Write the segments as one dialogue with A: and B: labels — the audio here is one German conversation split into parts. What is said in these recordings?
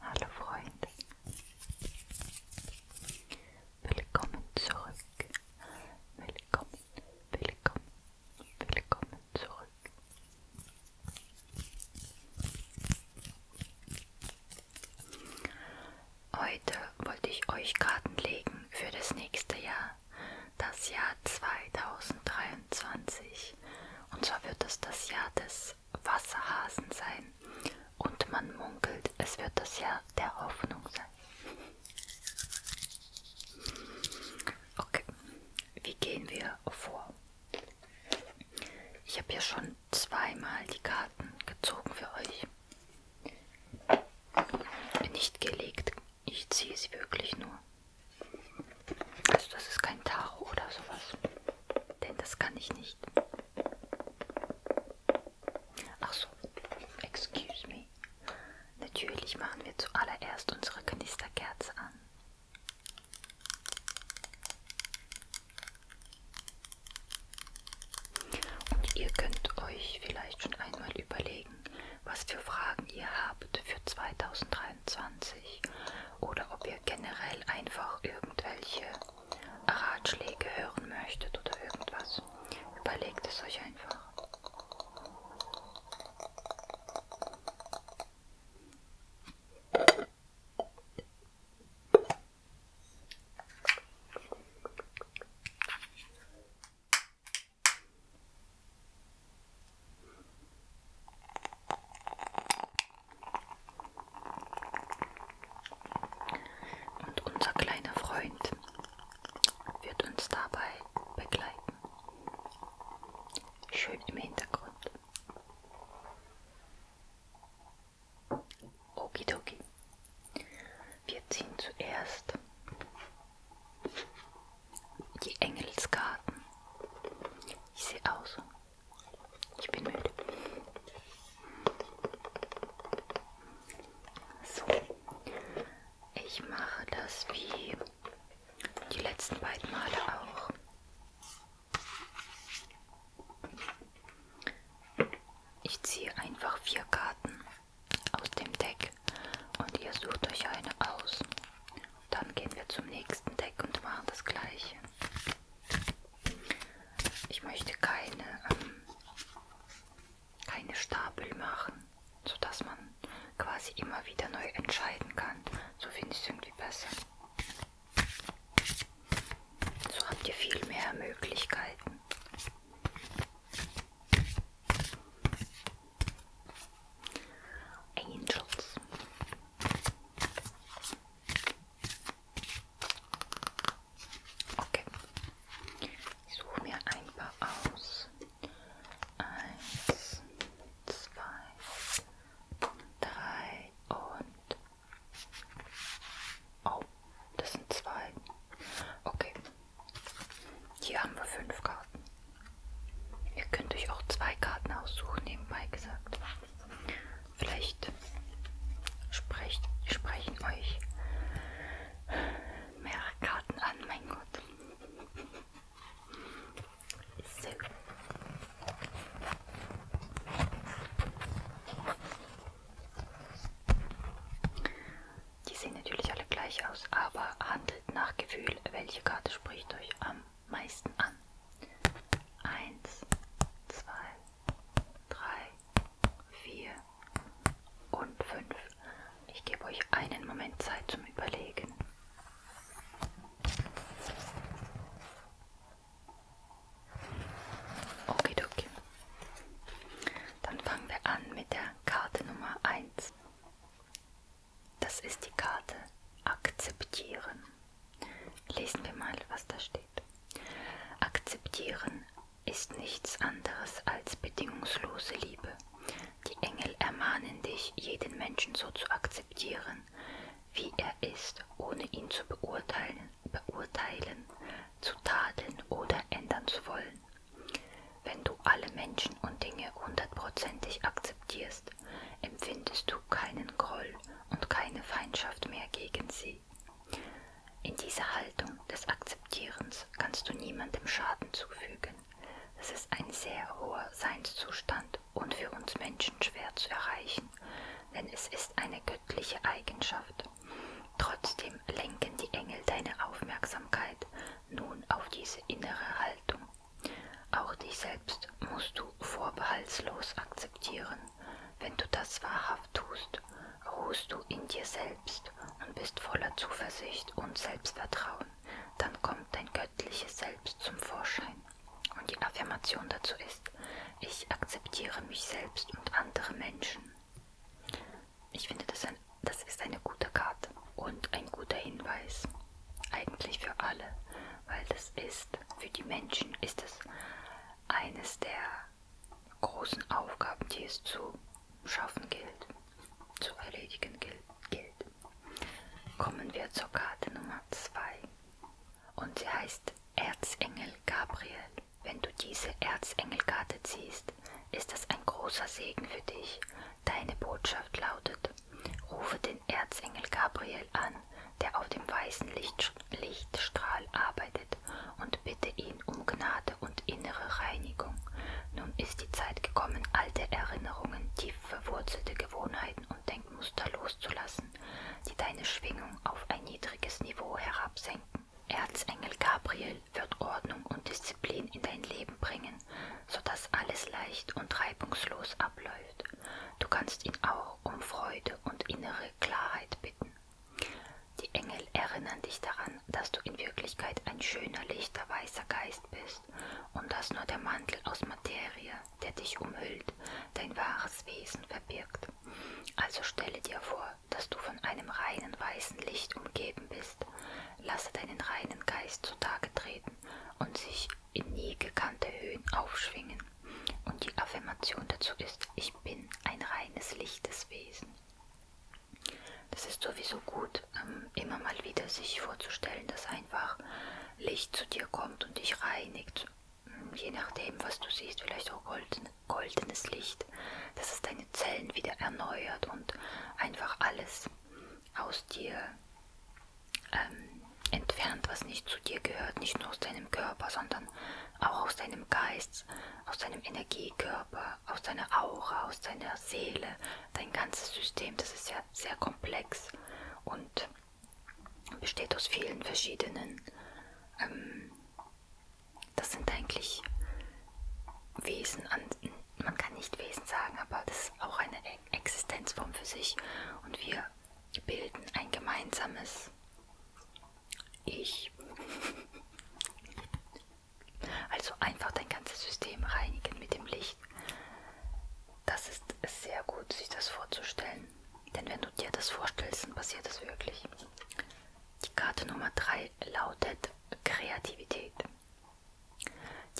A: Hallo Freunde, willkommen zurück, willkommen, willkommen, willkommen zurück. Heute wollte ich euch Karten legen für das nächste Jahr das Jahr 2023. Und zwar wird es das Jahr des Wasserhasen sein. Und man munkelt, es wird das Jahr der Hoffnung sein. Okay, wie gehen wir vor? Ich habe hier schon zweimal die Karten gezogen für euch. Nicht gelegt, ich ziehe sie wirklich nur. Also das ist kein Tarot oder sowas. Denn das kann ich nicht. Ach so, excuse me. Natürlich machen wir zuallererst unsere Knisterkerze an. Und ihr könnt euch vielleicht schon einmal überlegen, was für Fragen ihr habt für 2023 oder ob ihr generell einfach irgendwelche Ratschläge hören möchtet oder irgendwas. Überlegt es euch einfach. Und unser kleiner Freund wird uns dabei begleiten. Schön im Hintergrund. Okidoki. Wir ziehen zuerst die Engelskarten. Ich sehe aus. Ich bin müde. So. Ich mache das wie die letzten beiden Male auch. Ich ziehe einfach vier Karten aus dem Deck und ihr sucht euch eine aus. Dann gehen wir zum nächsten Deck und machen das gleiche. Ich möchte keine, ähm, keine Stapel machen, sodass man quasi immer wieder neu entscheiden kann. So finde ich es irgendwie besser. So habt ihr viel mehr Möglichkeiten. Angels. Okay. Ich suche mir ein paar aus. Eins, zwei, drei und... Oh, das sind zwei. Okay, hier haben wir fünf Karten. Ihr könnt euch auch zwei Karten aussuchen, nebenbei gesagt. Vielleicht sprecht, sprechen euch mehrere Karten an, mein Gott. So. Die sehen natürlich alle gleich aus, aber handelt nach Gefühl, welche Karte spricht euch am meisten an. Eins, zwei, drei, vier und fünf. Ich gebe euch einen Moment Zeit zum Überlegen. Okay, okay. Dann fangen wir an mit der Karte Nummer 1. Das ist die Karte Akzeptieren. Lesen wir mal, was da steht. Akzeptieren ist nichts anderes als bedingungslose Liebe. Die Engel ermahnen dich, jeden Menschen so zu akzeptieren, wie er ist, ohne ihn zu beurteilen, beurteilen, zu tadeln oder ändern zu wollen. Wenn du alle Menschen und Dinge hundertprozentig akzeptierst, empfindest du keinen Groll und keine Feindschaft mehr gegen sie. In dieser Haltung des Akzeptierens kannst du niemandem Schaden zufügen. Es ist ein sehr hoher Seinszustand und für uns Menschen schwer zu erreichen, denn es ist eine göttliche Eigenschaft. Trotzdem lenken die Engel deine Aufmerksamkeit nun auf diese innere Haltung. Auch dich selbst musst du vorbehaltslos akzeptieren. Wenn du das wahrhaft tust, ruhst du in dir selbst und bist voller Zuversicht und Selbstvertrauen. Dann kommt dein göttliches Selbst zum Vorschein. Und die Affirmation dazu ist, ich akzeptiere mich selbst und andere Menschen ich finde, das, ein, das ist eine gute Karte und ein guter Hinweis. Eigentlich für alle, weil das ist, für die Menschen ist es eines der großen Aufgaben, die es zu schaffen gilt, zu erledigen gilt. Kommen wir zur Karte Nummer 2 und sie heißt Erzengel Gabriel. Wenn du diese Erzengelkarte ziehst, ist das ein großer Segen für dich. Deine Botschaft lautet, rufe den Erzengel Gabriel an, der auf dem weißen Licht, Lichtstrahl arbeitet, und bitte ihn um Gnade und innere Reinigung. Nun ist die Zeit gekommen, alte Erinnerungen, tief verwurzelte Gewohnheiten und Denkmuster loszulassen, die deine Schwingung auf ein niedriges Niveau herabsenken. Erzengel Gabriel wird Ordnung und Disziplin in dein Leben bringen, sodass alles leicht und reibungslos abläuft. Du kannst ihn auch um Freude und innere Klarheit bitten. Die Engel erinnern dich daran, dass du in Wirklichkeit ein schöner, lichter, weißer Geist bist und dass nur der Mantel aus Materie, der dich umhüllt, dein wahres Wesen verbirgt. Also stelle dir vor, dass du von einem reinen weißen Licht umgeben bist. Lasse deinen reinen Geist zutage treten und sich in nie gekannte Höhen aufschwingen. Und die Affirmation dazu ist, ich bin ein reines lichtes Wesen. Das ist sowieso gut, ähm, immer mal wieder sich vorzustellen, dass einfach Licht zu dir kommt und dich reinigt. Hm, je nachdem, was du siehst, vielleicht auch golden, goldenes Licht, dass es deine Zellen wieder erneuert und einfach alles aus dir ähm, entfernt, was nicht zu dir gehört, nicht nur aus deinem Körper, sondern auch aus deinem Geist, aus deinem Energiekörper, aus deiner Aura, aus deiner Seele, dein ganzes System, das ist ja sehr komplex und besteht aus vielen verschiedenen ähm, das sind eigentlich Wesen, an, man kann nicht Wesen sagen, aber das ist auch eine e-, Existenzform für sich. Und wir bilden ein gemeinsames Ich. Also einfach dein ganzes System reinigen mit dem Licht. Das ist sehr gut, sich das vorzustellen. Denn wenn du dir das vorstellst, dann passiert es wirklich. Die Karte Nummer 3 lautet Kreativität.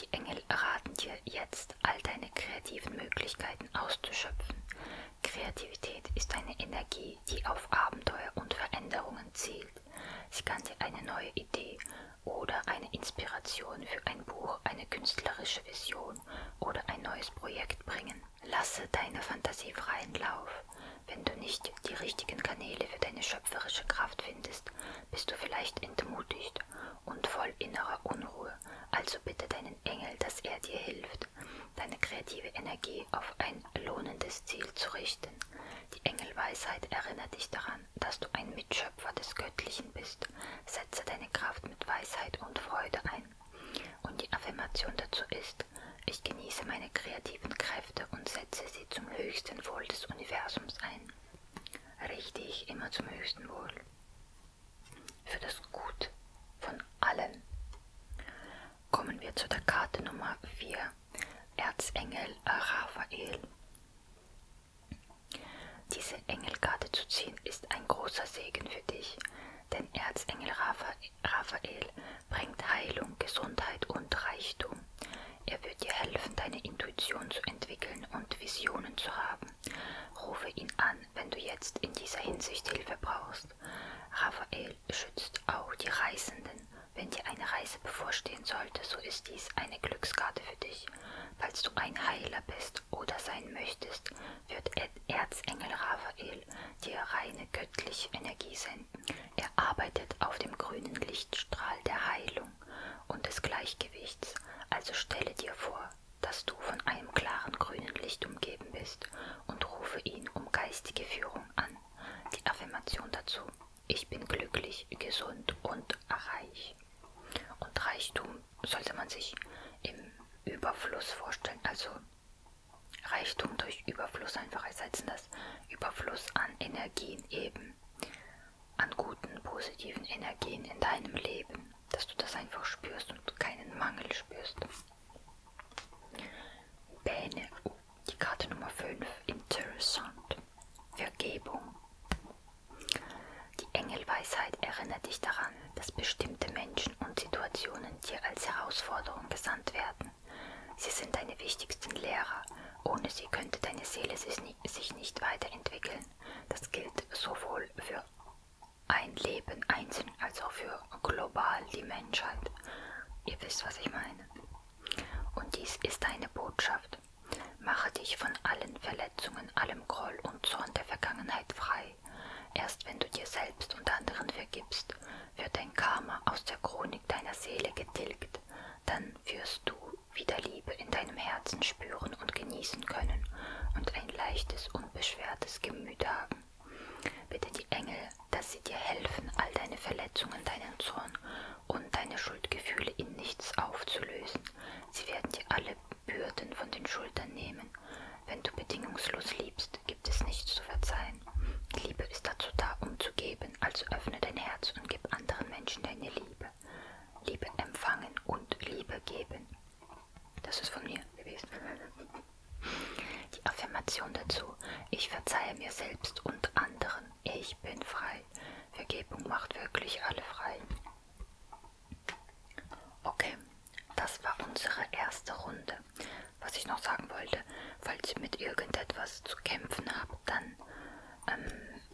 A: Die Engel raten dir jetzt, all deine kreativen Möglichkeiten auszuschöpfen. Kreativität ist eine Energie, die auf Abenteuer und Veränderungen zielt. Sie kann dir eine neue Idee oder eine Inspiration für ein Buch, eine künstlerische Vision oder ein neues Projekt bringen. Lasse deine Fantasie freien Lauf. Wenn du nicht die richtigen Kanäle für deine schöpferische Kraft findest, bist du vielleicht entmutigt und voll innerer Unruhe. Also bitte deinen Engel, dass er dir hilft, deine kreative Energie auf ein lohnendes Ziel zu richten. Die Engelweisheit erinnert dich daran, dass du ein Mitschöpfer des Göttlichen bist. Setze deine Kraft mit Weisheit und Freude ein. Und die Affirmation dazu ist, ich genieße meine kreativen Kräfte und setze sie zum höchsten Wohl des Universums ein. Richte ich immer zum höchsten Wohl. Für das Gut von allen. Kommen wir zu der Karte Nummer 4. Erzengel Raphael. Diese Engelkarte zu ziehen ist ein großer Segen für dich, denn Erzengel Raphael bringt Heilung, Gesundheit und Reichtum. Er wird dir helfen, deine Intuition zu entwickeln und Visionen zu haben. Rufe ihn an, wenn du jetzt in dieser Hinsicht Hilfe brauchst. Raphael schützt auch die Reisenden. Wenn dir eine Reise bevorstehen sollte, so ist dies eine Glückskarte für dich. Falls du ein Heiler bist oder sein möchtest, wird Erzengel Raphael dir reine göttliche Energie senden. Er arbeitet auf dem grünen Lichtstrahl der Heilung und des Gleichgewichts, also stelle dir vor, dass du von einem klaren grünen Licht umgeben bist und rufe ihn um geistige Führung an. Die Affirmation dazu, ich bin glücklich, gesund und reich. Und Reichtum sollte man sich im Überfluss vorstellen, also Reichtum durch Überfluss an das Überfluss an Energien eben, an guten, positiven Energien in deinem Leben, dass du das einfach spürst und keinen Mangel spürst. Bäne, oh, die Karte Nummer 5, interessant. Vergebung. Die Engelweisheit erinnert dich daran, dass bestimmte Menschen und Situationen dir als Herausforderung gesandt werden. Sie sind deine wichtigsten Lehrer. Ohne sie könnte deine Seele sich nicht weiterentwickeln. Das gilt sowohl für ein Leben einzeln als auch für global die Menschheit. Ihr wisst, was ich meine. Und dies ist deine Botschaft. Mache dich von allen Verletzungen, allem Groll und Zorn der Vergangenheit frei. Erst wenn du dir selbst und anderen vergibst, wird dein Karma aus der Chronik Dunkelheit deiner Seele getilgt, dann wirst du wieder Liebe in deinem Herzen spüren und genießen können und ein leichtes, unbeschwertes Gemüt haben. Bitte die Engel, dass sie dir helfen, all deine Verletzungen, deinen Zorn und deine Schuldgefühle in nichts aufzulösen. Sie werden dir alle Bürden von den Schultern nehmen, wenn du bedingungslos liebst bist, gibt es nichts zu verzeihen. Liebe ist dazu da, um zu geben, also öffne dein Herz und gib anderen Menschen deine Liebe. Liebe empfangen und Liebe geben. Das ist von mir gewesen. Die Affirmation dazu. Ich verzeihe mir selbst und anderen. Ich bin frei. Vergebung macht wirklich alle frei. Okay, das war unsere erste Runde was ich noch sagen wollte, falls ihr mit irgendetwas zu kämpfen habt, dann ähm,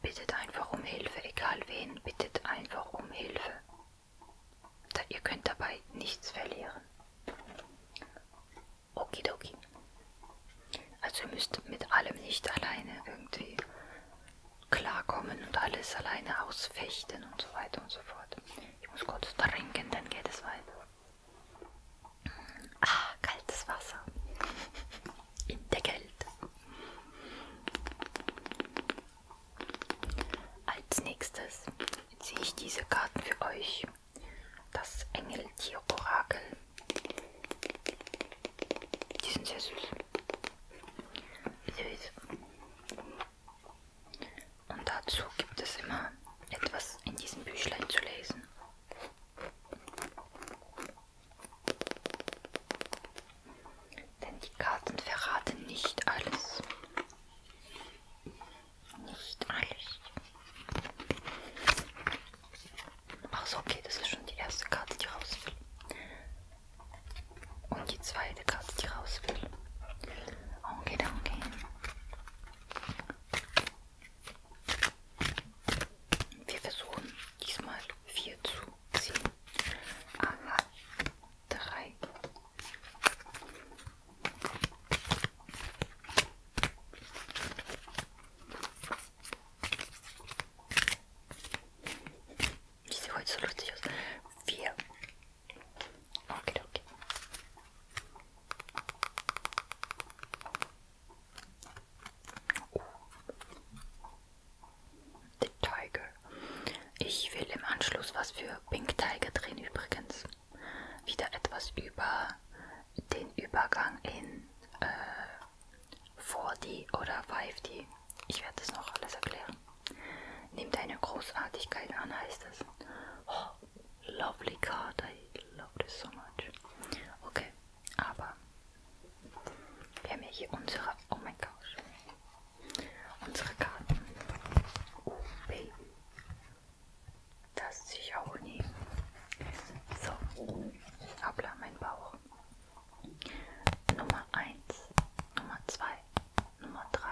A: bittet einfach um Hilfe, egal wen, bittet einfach um Hilfe. Da, ihr könnt dabei nichts verlieren. Okidoki. Also ihr müsst mit allem nicht alleine irgendwie klarkommen und alles alleine ausfechten und so weiter und so fort. Ich muss kurz trinken, dann geht es weiter. Ah, kaltes Wasser. In der Kälte. Als nächstes ziehe ich diese Karten für euch. Das Engeltier-Orakel. Die sind sehr süß. Süß. Und dazu gibt es immer etwas in diesem Büchlein zu lesen. Denn die Karten verraten nicht alles. Nicht alles. Ach so, okay, das ist schon die erste Karte, die raus will. Und die zweite Karte, die raus will. Okay, danke. Wir versuchen diesmal 4 zu ziehen. Aha, 3. Ich sehe heute so lustig aus. 4, Okay, okay. Oh. The Tiger. Ich will im Anschluss was für Pink Tiger drehen übrigens. Wieder etwas über den Übergang in äh, 4D oder 5D. Ich werde das noch alles erklären. Nehmt eine Großartigkeit an, heißt es. Oh, lovely card. I love this so much. Okay, aber wir haben ja hier unsere. Oh mein Gott. Unsere Karten. Oh, Baby. Das sich auch nie. So. Hoppla, mein Bauch. Nummer 1, Nummer 2, Nummer 3,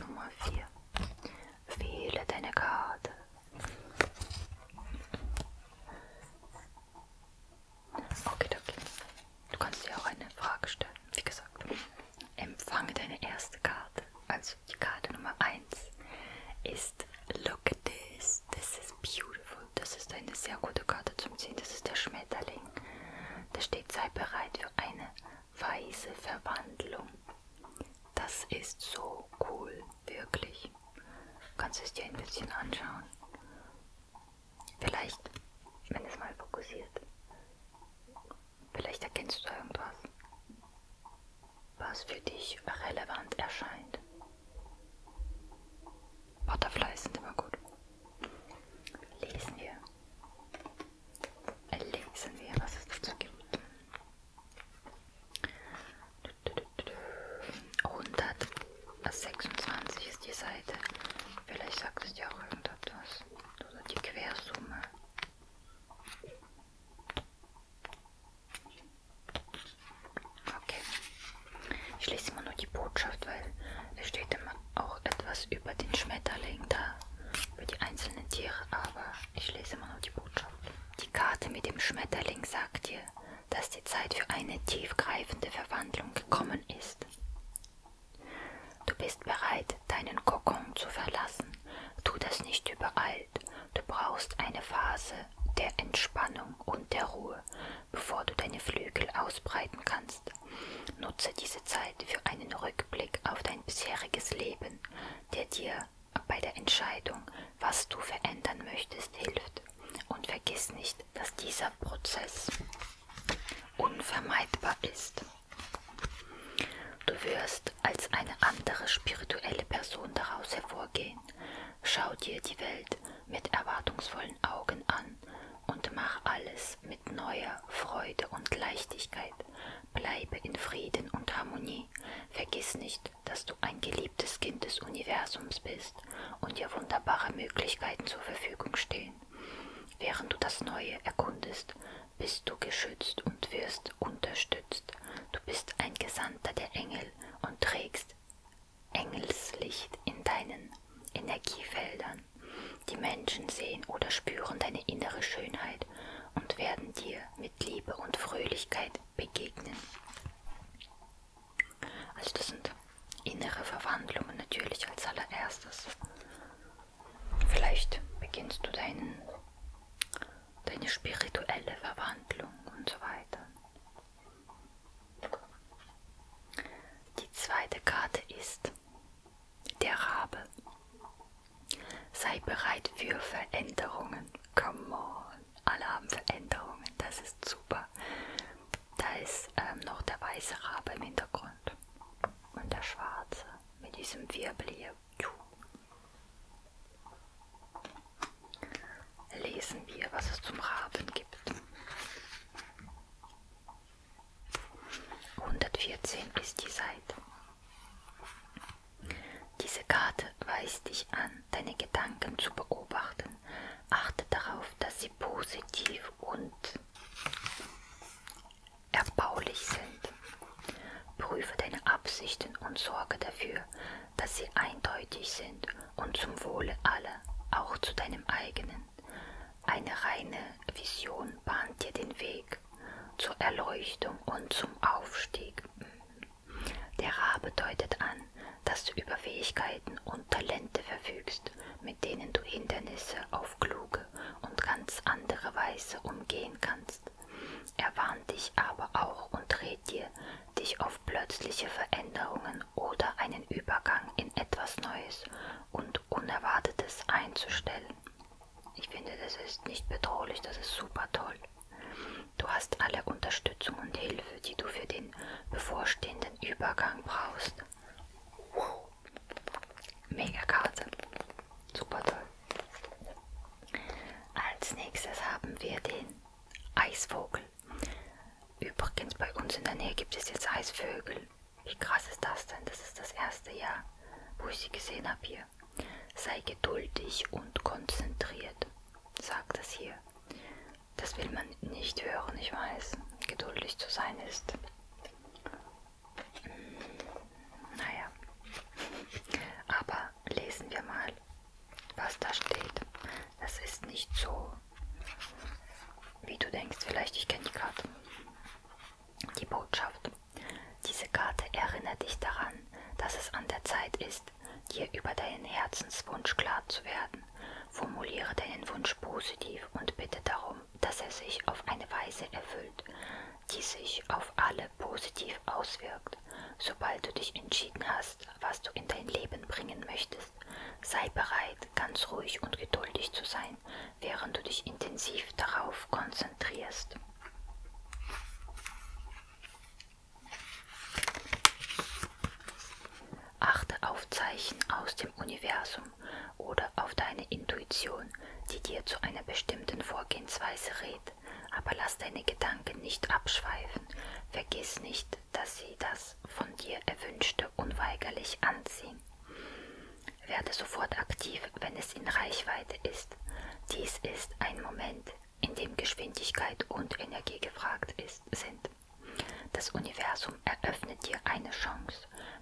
A: Nummer 4. Wähle deine Karte. Okay, okay. Du kannst dir auch eine Frage stellen. Wie gesagt, empfange deine erste Karte. Also die Karte Nummer 1 ist Look at this. This is beautiful. Das ist eine sehr gute Karte zum Ziehen. Das ist der Schmetterling. Da steht, sei bereit für eine Weise Verwandlung. Das ist so cool, wirklich. Kannst du es dir ein bisschen anschauen? Vielleicht, wenn es mal fokussiert, vielleicht erkennst du irgendwas, was für dich relevant erscheint. Butterflies sind immer gut. Lesen wir. Lesen wir, was es dazu gibt. 126 ist die Seite. Vielleicht sagt es dir auch irgendetwas. Oder die Quersumme. Okay. Ich lese immer nur die Botschaft, weil es steht immer auch etwas über den Schmetterling da über die einzelnen Tiere, aber ich lese immer nur die Botschaft. Die Karte mit dem Schmetterling sagt dir, dass die Zeit für eine tiefgreifende Verwandlung gekommen ist. Du bist bereit, deinen Kokon zu verlassen. Tu das nicht übereilt. Du brauchst eine Phase der Entspannung und der Ruhe, bevor du deine Flügel ausbreiten kannst. Nutze diese Zeit für einen Rückblick auf dein dein bisheriges Leben, der dir bei der Entscheidung, was du verändern möchtest, hilft. Und vergiss nicht, dass dieser Prozess unvermeidbar ist. Du wirst als eine andere spirituelle Person daraus hervorgehen. Schau dir die Welt mit erwartungsvollen Augen an und mach alles mit mit neuer Freude und Leichtigkeit. Bleibe in Frieden und Harmonie. Vergiss nicht, dass du ein geliebtes Kind des Universums bist und dir wunderbare Möglichkeiten zur Verfügung stehen. Während du das Neue erkundest, bist du geschützt und wirst unterstützt. Du bist ein Gesandter der Engel und trägst Engelslicht in deinen Energiefeldern verändern. Die Menschen sehen oder spüren deine innere Schönheit und werden dir mit Liebe und Fröhlichkeit begegnen. Also das sind innere Verwandlungen natürlich als allererstes. Vielleicht beginnst du deinen, deine spirituelle Verwandlung und so weiter. Die zweite Karte ist der Rabe. Sei bereit für Veränderungen. Come on. Alle haben Veränderungen. Das ist super. Da ist ähm, noch der weiße Rabe im Hintergrund. Und der schwarze mit diesem Wirbel hier. Lesen wir, was es zum Raben gibt. 114 ist die Seite. Diese Karte weist dich an, deine Gedanken zu beobachten. Achte darauf, dass sie positiv und erbaulich sind. Prüfe deine Absichten und sorge dafür, dass sie eindeutig sind und zum Wohle aller, auch zu deinem eigenen. Eine reine Vision bahnt dir den Weg Weg zur Erleuchtung und zum Aufstieg. Der Ra bedeutet an, dass du über Fähigkeiten und Talente verfügst, mit denen du Hindernisse auf kluge und ganz andere Weise umgehen kannst. Er warnt dich aber auch und rät dir, dich auf plötzliche Veränderungen oder einen Übergang in etwas Neues und Unerwartetes einzustellen. Ich finde, das ist nicht bedrohlich, das ist super toll. Du hast alle Unterstützung und Hilfe, die du für den bevorstehenden Übergang brauchst. Wow. Mega Karte. Super toll. Als nächstes haben wir den Eisvogel. Übrigens bei uns in der Nähe gibt es jetzt Eisvögel. Wie krass ist das denn? Das ist das erste Jahr, wo ich sie gesehen habe hier. Sei geduldig und konzentriert, sagt es hier. Das will man nicht hören, ich weiß. Geduldig zu sein ist. Hm, naja. Aber lesen wir mal, was da steht. Das ist nicht so, wie du denkst. Vielleicht, ich kenne die gerade. Die Botschaft. Diese Karte erinnert dich daran, dass es an der Zeit ist, dir über deinen Herzenswunsch klar zu werden. Formuliere deinen Wunsch positiv und bitte darum, dass er sich auf eine Weise erfüllt, die sich auf alle positiv auswirkt. Sobald du dich entschieden hast, was du in dein Leben bringen möchtest, sei bereit, ganz ruhig und geduldig zu sein sein, während du dich intensiv darauf konzentrierst. Achte auf Zeichen aus dem Universum oder auf deine Intuition, die dir zu einer bestimmten Vorgehensweise rät, aber lass deine Gedanken nicht abschweifen. Vergiss nicht, dass sie das von dir Erwünschte unweigerlich anziehen. Werde sofort aktiv, wenn es in Reichweite ist. Dies ist ein Moment, in dem Geschwindigkeit und Energie gefragt ist, sind. Das Universum eröffnet dir eine Chance.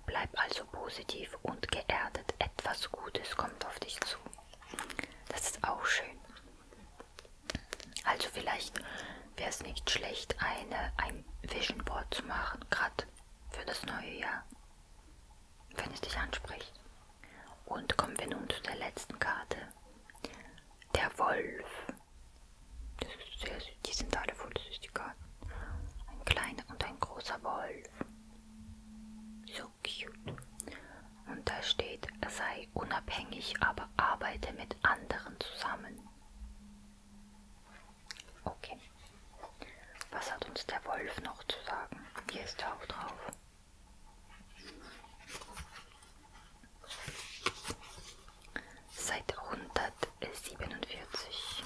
A: Bleib also positiv und geerdet. Etwas Gutes kommt auf dich zu. Das ist auch schön. Also vielleicht wäre es nicht schlecht, eine, ein Vision Board zu machen, gerade für das neue Jahr wenn es dich anspricht. Und kommen wir nun zu der letzten Karte. Der Wolf. Das ist sehr süß. Die sind alle voll süß, die Karten. Ein kleiner und ein großer Wolf. So cute. Und da steht, sei unabhängig, aber arbeite mit anderen zusammen. Okay. Was hat uns der Wolf noch zu sagen? Hier ist er auch drauf. Seite 147.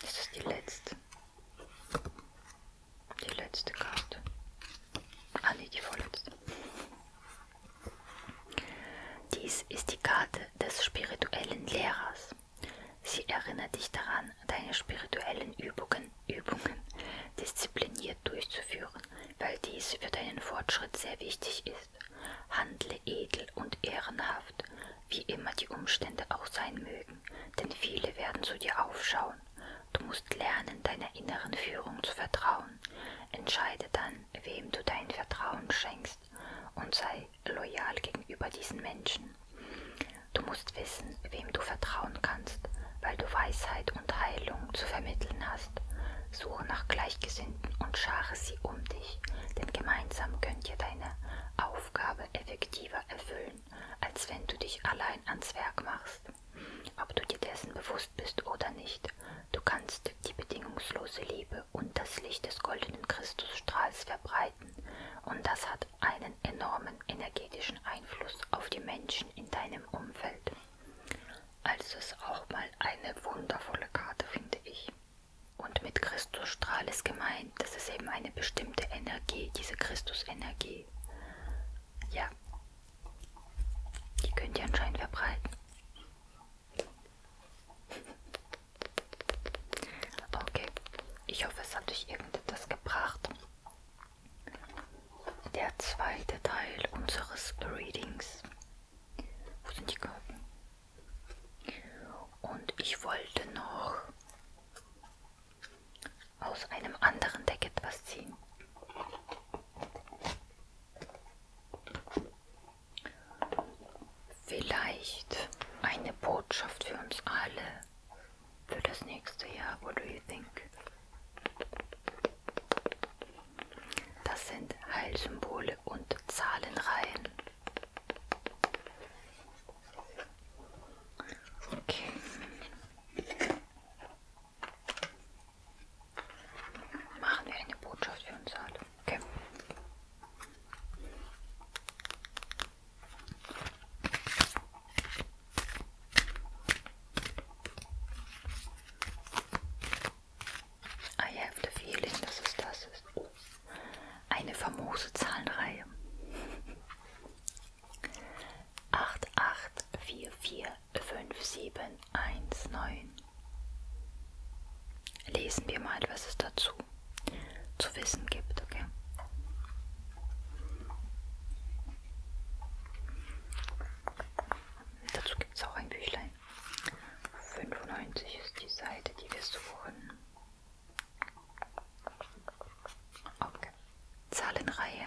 A: Das ist die letzte. Die letzte Karte. Ah ne, die vorletzte. Dies ist die Karte des spirituellen Lehrers. Sie erinnert dich daran, deine spirituellen Übungen, Übungen diszipliniert durchzuführen, weil dies für deinen Fortschritt sehr wichtig ist. Handle edel und ehrenhaft, wie immer die Umstände auch sein mögen, denn viele werden zu dir aufschauen. Du musst lernen, deiner inneren Führung zu vertrauen. Entscheide dann, wem du dein Vertrauen schenkst und sei loyal gegenüber diesen Menschen. Du musst wissen, wem du vertrauen kannst, weil du Weisheit und Heilung zu vermitteln hast. Suche nach Gleichgesinnten und schare sie um dich, denn gemeinsam könnt ihr deine Aufgabe effektiver erfüllen als wenn du dich allein ans Werk machst. Ob du dir dessen bewusst bist oder nicht, du kannst die bedingungslose Liebe und das Licht des goldenen Christusstrahls verbreiten, und das hat einen enormen energetischen Einfluss auf die Menschen in deinem Umfeld. Also ist auch mal eine wundervolle Karte, finde ich. Und mit Christusstrahl ist gemeint, das ist eben eine bestimmte Energie, diese Christusenergie die, ja, die könnt ihr anscheinend verbreiten. Aber okay, ich hoffe, es hat euch irgendetwas gebracht. Der zweite Teil unseres Readings. Wo sind die Karten? Und ich wollte noch aus einem anderen Deck etwas ziehen. Vielleicht eine Botschaft für uns alle für das nächste Jahr. What do you think? Das sind Heilsymbole und Zahlenreihen. Okay. Machen wir eine Botschaft für uns alle. Okay. I have the feeling, dass es das ist. Eine famose Zahlenreihe acht acht vier vier fünf sieben eins neun. Lesen wir mal, was es dazu zu wissen gibt, okay? Dazu gibt es auch ein Büchlein. 95 ist die Seite, die wir suchen. Okay. Zahlenreihe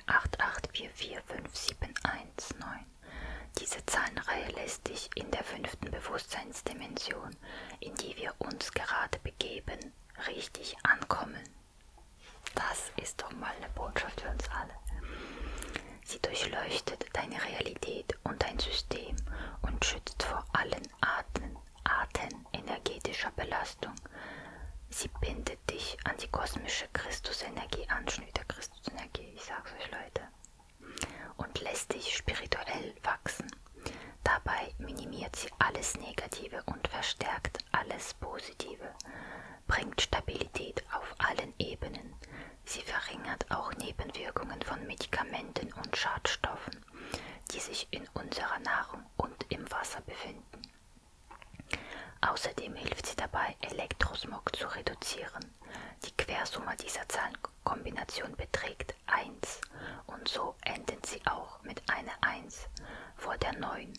A: 884457119. Diese Zahlenreihe lässt sich in der fünften Bewusstseinsdimension, in die wir uns gerade begeben, richtig ankommen. Das ist doch mal eine Botschaft für uns alle. Sie durchleuchtet deine Realität und dein System und schützt vor allen Arten Arten energetischer Belastung. Sie bindet dich an die kosmische Christusenergie an, der Christusenergie, ich sag's euch Leute, und lässt dich spirituell wachsen. Dabei minimiert sie alles Negative und verstärkt alles Positive, bringt Stabilität auf allen Ebenen. Sie verringert auch Nebenwirkungen von Medikamenten und Schadstoffen, die sich in unserer Nahrung Bewegung und im Wasser befinden. Außerdem hilft sie dabei, Elektrosmog zu reduzieren. Die Quersumme dieser Zahlenkombination beträgt 1 und so enden sie auch mit einer 1 vor der 9,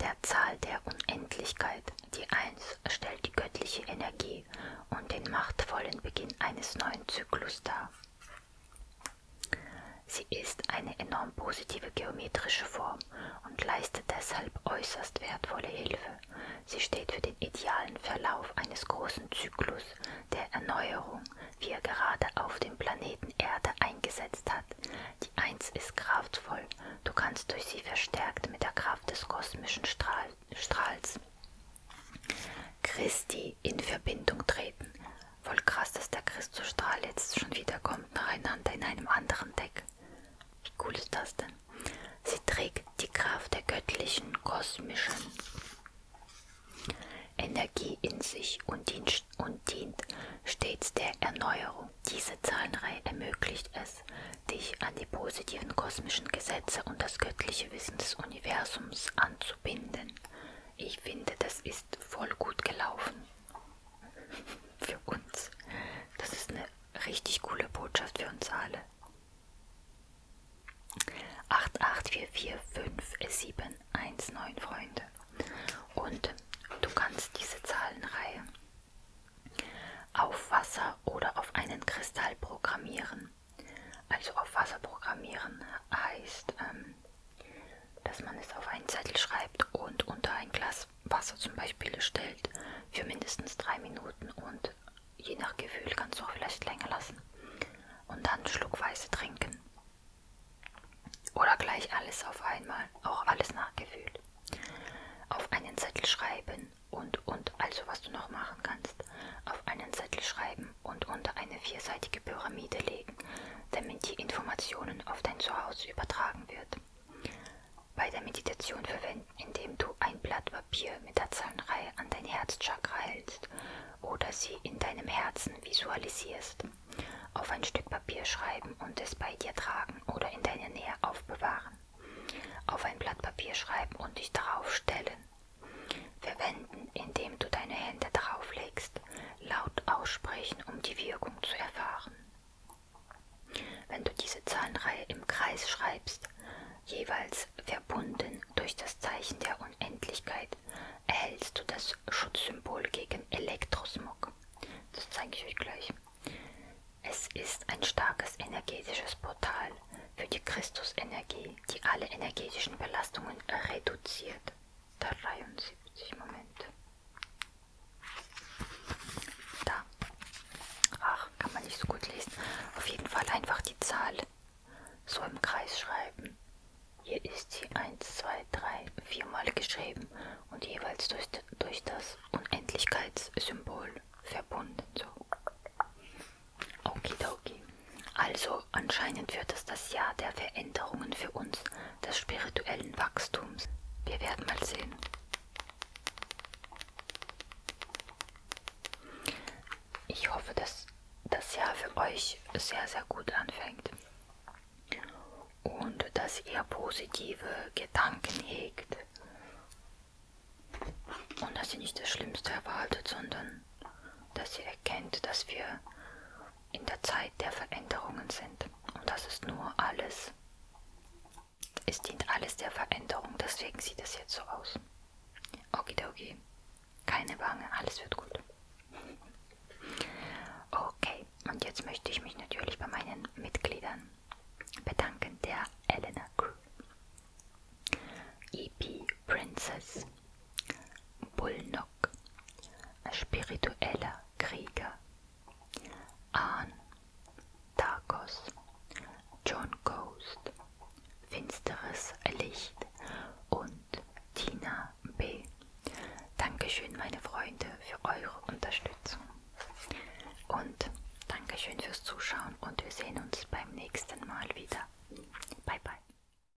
A: der Zahl der Unendlichkeit. Die 1 stellt die göttliche Energie und den machtvollen Beginn eines neuen Zyklus dar. Sie ist eine enorm positive geometrische Form und leistet deshalb äußerst wertvolle Hilfe. Sie steht für den idealen Verlauf eines großen Zyklus der Erneuerung, wie er gerade auf dem Planeten Erde eingesetzt hat. Die Eins ist kraftvoll, du kannst durch sie verstärkt mit der Kraft des kosmischen Strahl Strahls Christi in Verbindung treten. Voll krass, dass der Christusstrahl jetzt schon wieder kommt nacheinander in einem anderen Deck. Wie cool ist das denn? Sie trägt die Kraft der göttlichen, kosmischen Energie in sich und dient, und dient stets der Erneuerung. Diese Zahlenreihe ermöglicht es, dich an die positiven kosmischen Gesetze und das göttliche Wissen des Universums anzubinden. Ich finde, das ist ist voll gut gelaufen. für uns. Das ist eine richtig coole Botschaft für uns alle. 884457119 Freunde. Und du kannst diese Zahlenreihe auf Wasser oder auf einen Kristall programmieren. Also auf Wasser programmieren heißt, ähm, dass man es auf einen Zettel schreibt und unter ein Glas Wasser zum Beispiel stellt für mindestens drei Minuten und je nach Gefühl kannst du auch vielleicht länger lassen und dann schluckweise trinken oder gleich alles auf einmal, auch alles nach Gefühl. Auf einen Zettel schreiben und und also was du noch machen kannst, auf einen Zettel schreiben und unter eine vierseitige Pyramide legen, damit die Informationen auf dein Zuhause übertragen wird. Bei der Meditation verwenden, indem du ein Blatt Papier mit der Zahlenreihe an dein Herzchakra hältst oder sie in deinem Herzen visualisierst. Auf ein Stück Papier schreiben und es bei dir tragen oder in deiner Nähe aufbewahren. Auf ein Blatt Papier schreiben und dich darauf stellen. Verwenden, indem du deine Hände darauf legst laut aussprechen, um die Wirkung zu erfahren. Wenn du diese Zahlenreihe im Kreis schreibst, jeweils verbunden durch das Zeichen der Unendlichkeit, erhältst du das Schutzsymbol gegen Elektrosmog. Das zeige ich euch gleich. Es ist ein starkes energetisches Portal für die Christusenergie, die alle energetischen Belastungen reduziert. 73, Moment. Da. Ach, kann man nicht so gut lesen. Auf jeden Fall einfach die Zahl so im Kreis schreiben. Hier ist sie 1, 2, 3, 4 mal geschrieben und jeweils durch, durch das Unendlichkeitssymbol verbunden. So. Okay, okay. Also anscheinend wird es das Jahr der Veränderungen für uns, des spirituellen Wachstums. Wir werden mal sehen. Ich hoffe, dass das Jahr für euch sehr, sehr gut anfängt und dass ihr positive Gedanken hegt und dass ihr nicht das Schlimmste erwartet, sondern dass ihr erkennt, dass wir in der Zeit der Veränderungen sind. Und das ist nur alles. Es dient alles der Veränderung, deswegen sieht es jetzt so aus. Okidoki. Keine Wange, alles wird gut. Okay, und jetzt möchte ich mich natürlich bei meinen Mitgliedern bedanken, der Elena Crew, EP Princess, Bulnok, spiritueller Krieger. Ahn, Tarkos, John Ghost, finsteres Licht und Tina B. Dankeschön, meine Freunde, für eure Unterstützung. Und Dankeschön fürs Zuschauen und wir sehen uns beim nächsten Mal wieder. Bye, bye.